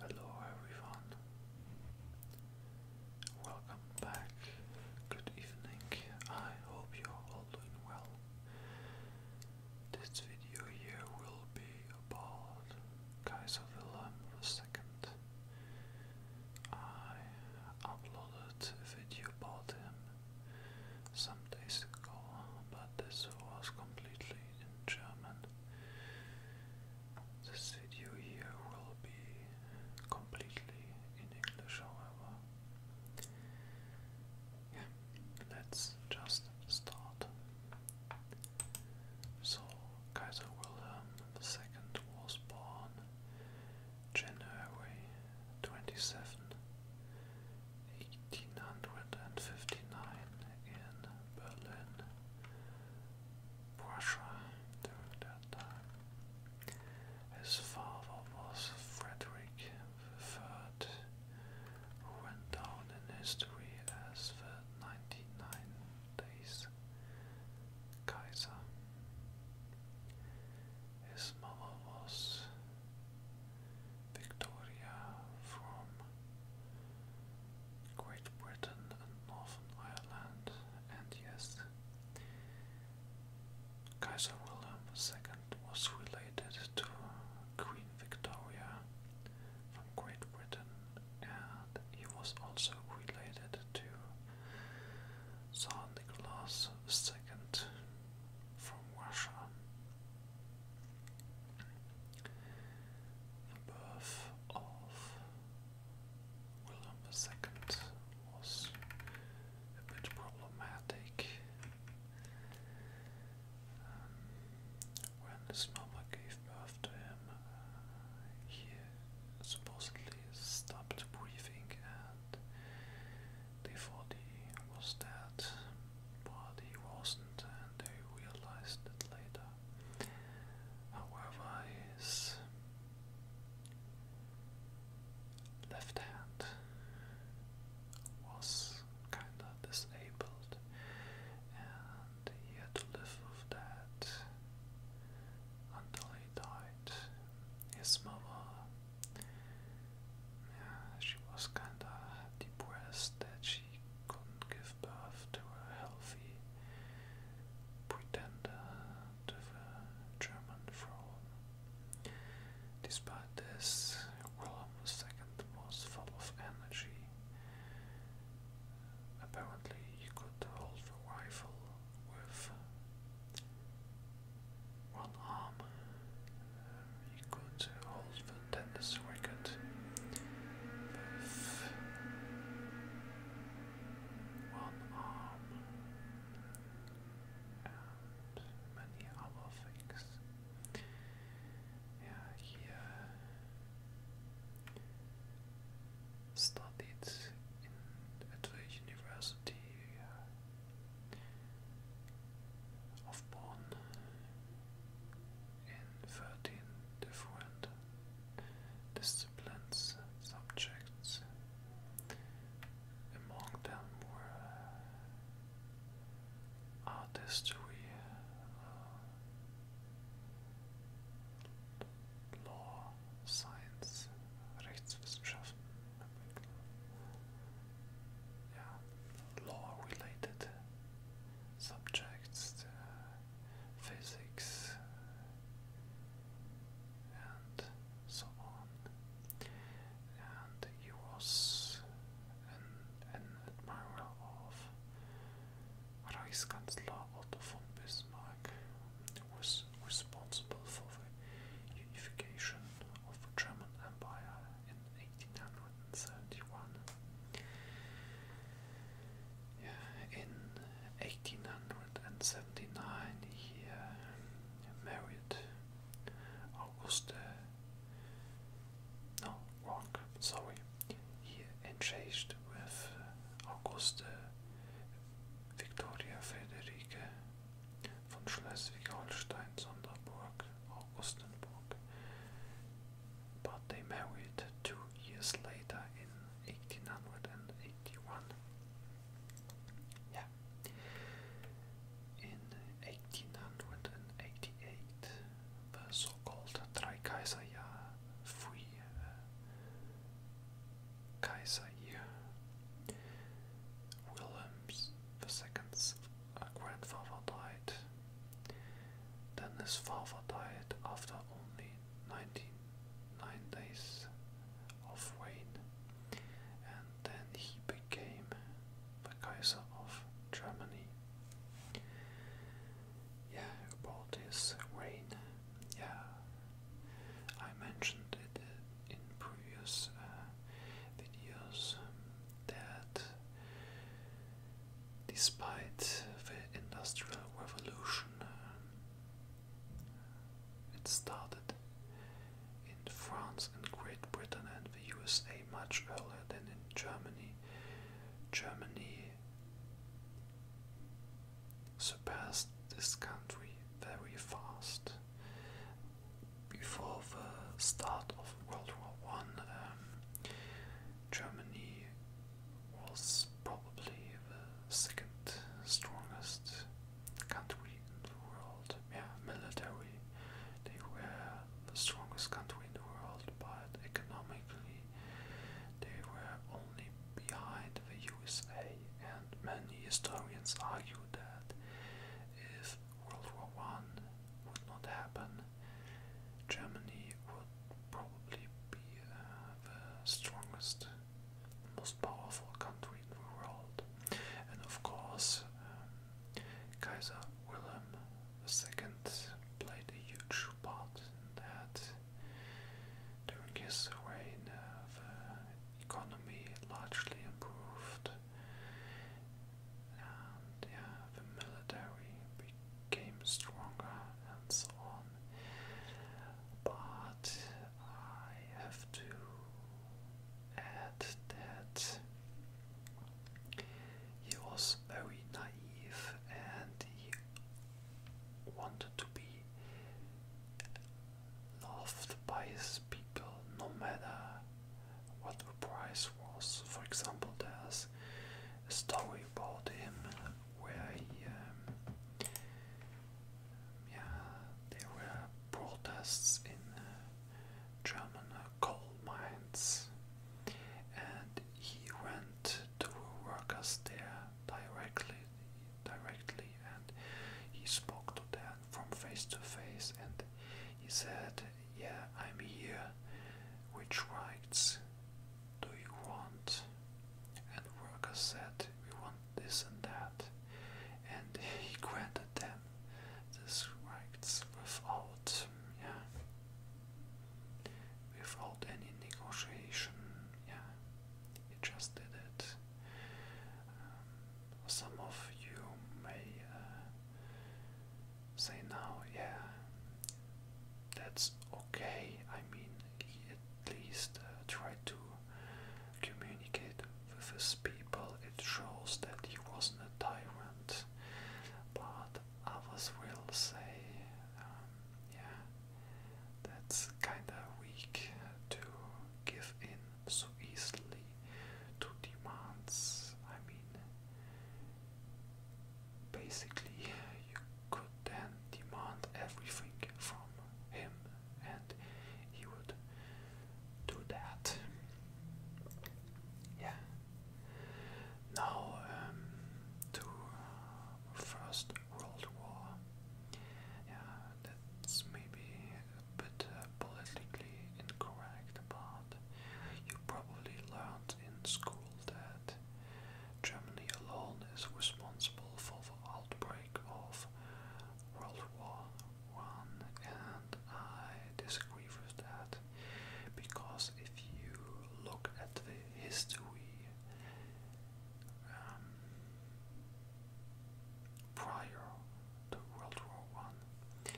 Hello everyone. Welcome back. Good evening. I hope you're all doing well. This video here will be about Kaiser Wilhelm II. I uploaded a video about him some days ago, but this was completely in German. This video here will be completely in English, however. Yeah, let's just start. So, Kaiser Wilhelm II was born January 27, 1859 in Berlin, Prussia during that time. His father was Frederick III, who went down in history as the 99 days Kaiser. His mother was Victoria from Great Britain and Northern Ireland, and yes, Kaiser Wilhelm II was related to Queen Victoria from Great Britain, and he was also related to Tsar Nicholas II from Russia. The birth of William II was a bit problematic. Um, when his mother gave birth to him, uh, he supposedly stopped breathing and before the was dead, but he wasn't, and they realized that later. However, his left hand was kinda disabled, and he had to live with that until he died. His mother yeah, she was kinda depressed that she couldn't give birth to a healthy pretender to the German throne. Despite this, Wilhelm II was full of energy. Apparently, he could hold the rifle with one arm. We could hold the tennis racket one arm and many other things. Yeah, he studied at the university of Bonn in 13 different disciplines, subjects. Among them were uh, art history, uh, law, science, Rechtswissenschaften, yeah, law-related subjects, uh, physics, and so on. And he was an, an of Reichskanzler Otto von Bismarck, who was responsible for the unification of the German Empire in 1871. In 1879 he uh, married Auguste, no, wrong, sorry, he engaged with Auguste Victoria Frederica. From Schleswig-Holstein, Sonderburg, Augustenburg. But they married two years later in 1881. Yeah. In 1888, the so-called Dreikaiserjahr free uh, Kaiser Williams II's uh, grandfather died. Then his father died after only 99 days of reign, and then he became the Kaiser of Germany. Yeah, about his reign, yeah, I mentioned it uh, in previous uh, videos um, that despite the Industrial Revolution, um, it started in France and Great Britain and the USA much earlier than in Germany. Germany surpassed this country very fast. Before the start of World War One, um, Germany was probably the second strongest country in the world. Yeah, military, they were the strongest country in the world, but economically, they were only behind the USA, and many historians argue that if World War I would not happen, Germany would probably be uh, the strongest, most powerful country in the world. And of course, um, Kaiser Wilhelm II played a huge part in that. During his reign, uh, the economy largely improved, and the military became stronger and so on. But I have to add that he was very naive and he wanted to be loved by his people no matter what the price was. For example, there's a story about him where he, um, yeah, there were protests in uh, German coal mines, and he went to workers there directly, directly, and he spoke to them from face to face, and he said, "Yeah, I'm here. Which rights do you want?" And workers said, "We want this and that," and he granted them these rights without, yeah, without any negotiation. Yeah, he just did it. Um, some of you may uh, say now, yeah, that's okay. I mean, he at least uh, tried to communicate with his people. It shows that he wasn't a tyrant. But others will say, um, yeah, that's kinda weak to give in so easily to demands. I mean, basically, you could then demand everything from him, and he would do that. Yeah, now, um, to uh, First World War. Yeah, that's maybe a bit uh, politically incorrect, but you probably learned in school that Germany alone is responsible for the outbreak of World War One, and I disagree with that because if you look at the history um, prior to World War One,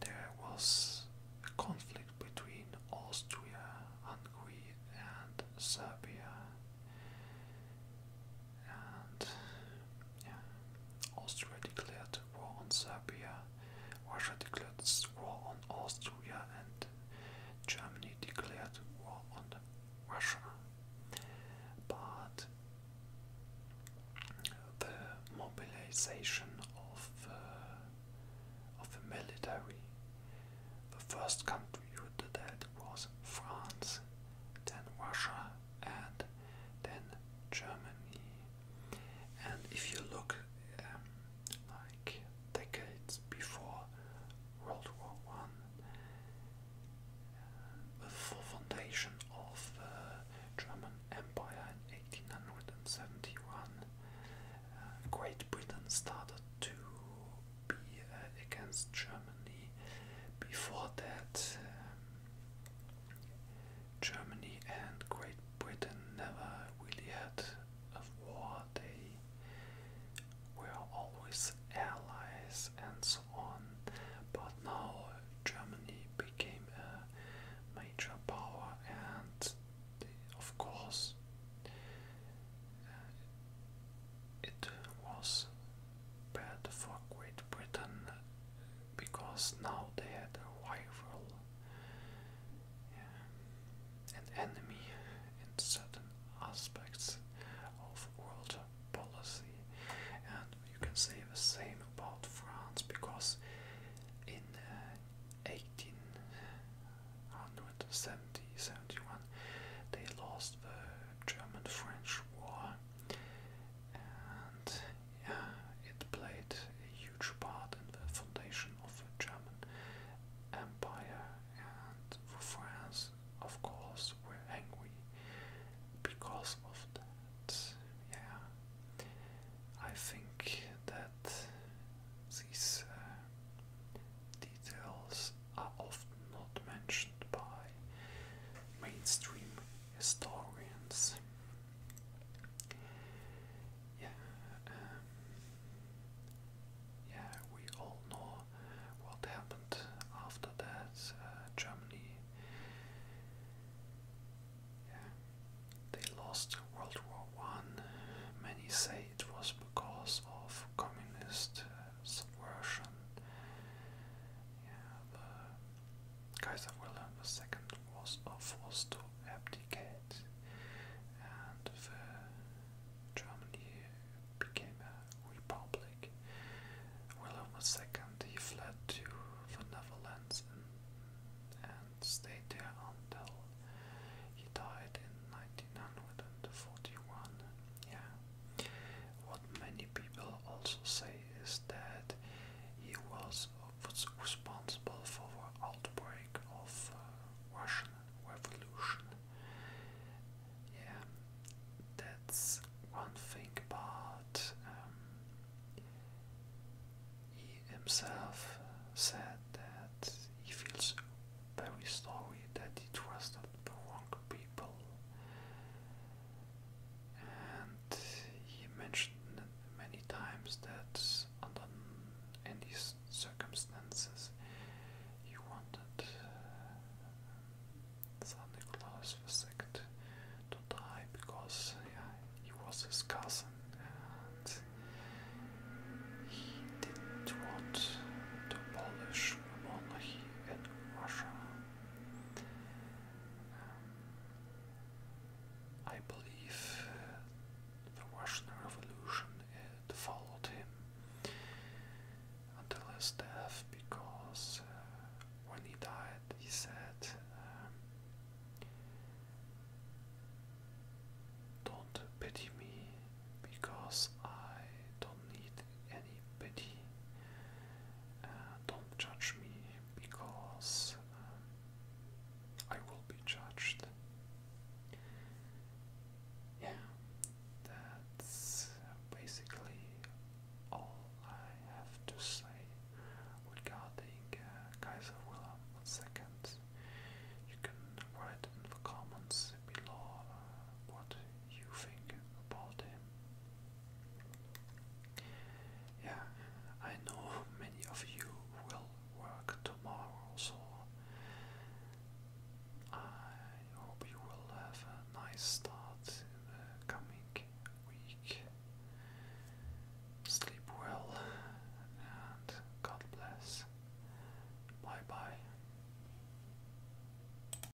there was a conflict between Austria, Hungary, and Serbia. And Austria declared war on Serbia Russia declared war on Austria and Germany declared war on Russia. But the mobilization of uh, of the military, the first country who did that was France, then Russia, and then Germany. And if you look um, like decades before World War One, uh, the full foundation of the German Empire in 1871, uh, Great Britain started to be uh, against Germany. Before that, um, Germany and Great Britain never really had of war. They were always allies and so on. But now Germany became a major power, and of course, uh, it was bad for Great Britain because now they had a rival an enemy in certain aspects of world policy. And you can say the same about France because in uh, they lost the German French War yeah, it played a huge part in the foundation of the German Empire, and for France, of course, were angry because of that. Yeah, I think that these uh, details are often not mentioned by mainstream historians. Yeah, um, yeah, we all know what happened after that. Uh, Germany, they lost World War One. Many say it was because of communist uh, subversion. Yeah, the Kaiser Wilhelm II was forced to abdicate, and the Germany became a republic. Wilhelm II he fled to the Netherlands and, and stayed there until he died in 1941. Yeah. What many people also say is that he was, was responsible for the outbreak of uh, Russian Revolution. Yeah, that's one thing about um, he himself said that he feels very sorry that he trusted the wrong people and he mentioned many times that under any circumstances he wanted uh, Santa Claus II to die because he was his cousin and he didn't want to abolish monarchy in Russia. I believe the Russian Revolution followed him until his death because uh, when he died, he said, um, Don't pity me because I don't need anybody. Uh, don't judge me because um, I will be judged. Yeah, that's basically all I have to say regarding uh, Kaiser Wilhelm II. You can write in the comments below uh, what you think about him. Yeah, I know many of you will work tomorrow, so I hope you will have a nice start in the coming week. Sleep well and God bless. Bye bye.